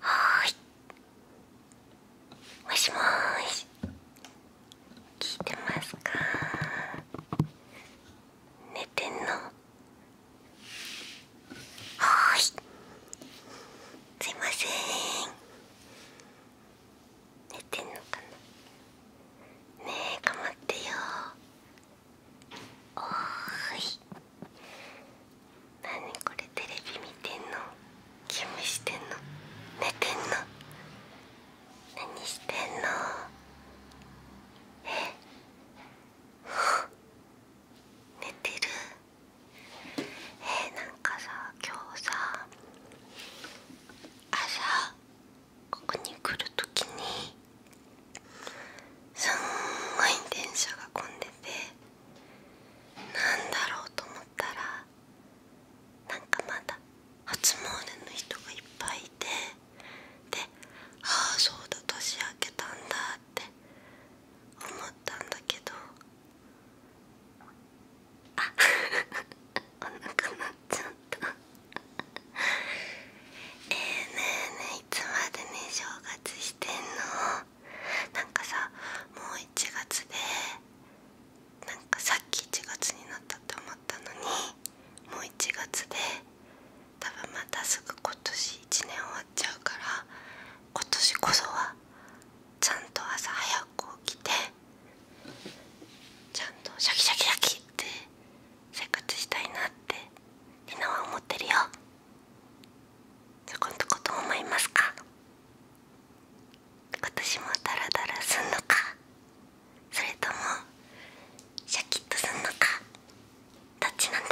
はいもしもーし聞いてますか寝てんのはいすいません寝てんのかなねえ頑張ってよおーい何これテレビ見てんの勤務してんの寝てんの何してんのえ 寝てるえー、なんかさ今日さ朝ここに来るときにすんごい電車が混んでてなんだろうと思ったらなんかまだ初詣の人がいっぱいいてで「ああそうだ年明けたんだ」って思ったんだけどあ お腹鳴っちゃったええ、ねえねえいつまでね正月してんのなんかさもう1月でなんかさっき1月になったと思ったのにもう1月で多分またすぐ今年1年終わっちゃうから今年こそはちゃんと朝早く起きてちゃんとシャキシャキシャキって生活したいなってりは思ってるよそこんとこど思いますか今もダラダラすんのかそれともシャキッとすんのかどっちなんだ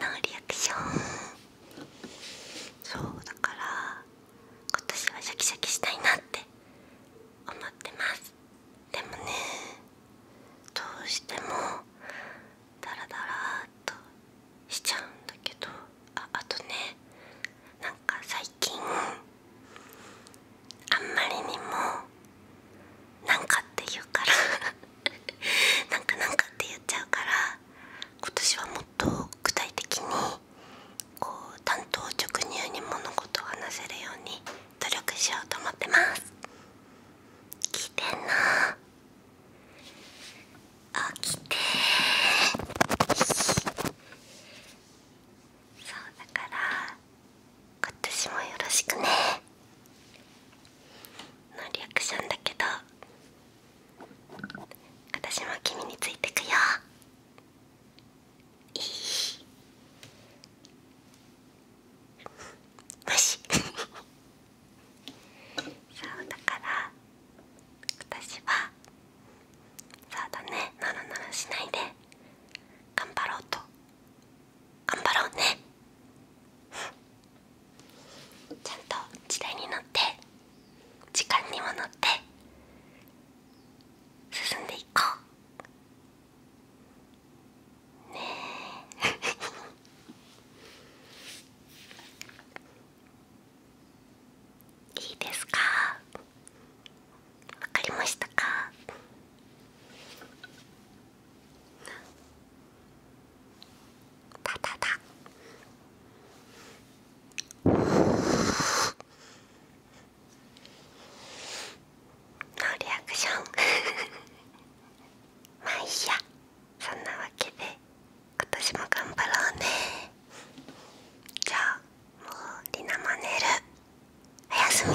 ノリアクションそうだから今年はシャキシャキしたいなって思ってますでもねどうしてもダラダラっとしちゃうんだけどああとねなんか最近あんまりにもなんかって言うから なんかなんかって言っちゃうから今年はもっと具体的にこう単刀直入に物事を話せるように努力しようと思ってます来てんな起きてそうだから今年もよろしくねのリアクションだけど私も君についてくよいい無視そうだから私はそうだねならならしないで頑張ろうと頑張ろうねちゃんと時代に乗って時間にも乗って進んでいこうねえ いいですかわかりましたかタタタ乗リアクション まあいいやそんなわけで今年も頑張ろうねじゃあもうリナマネル、おやすみ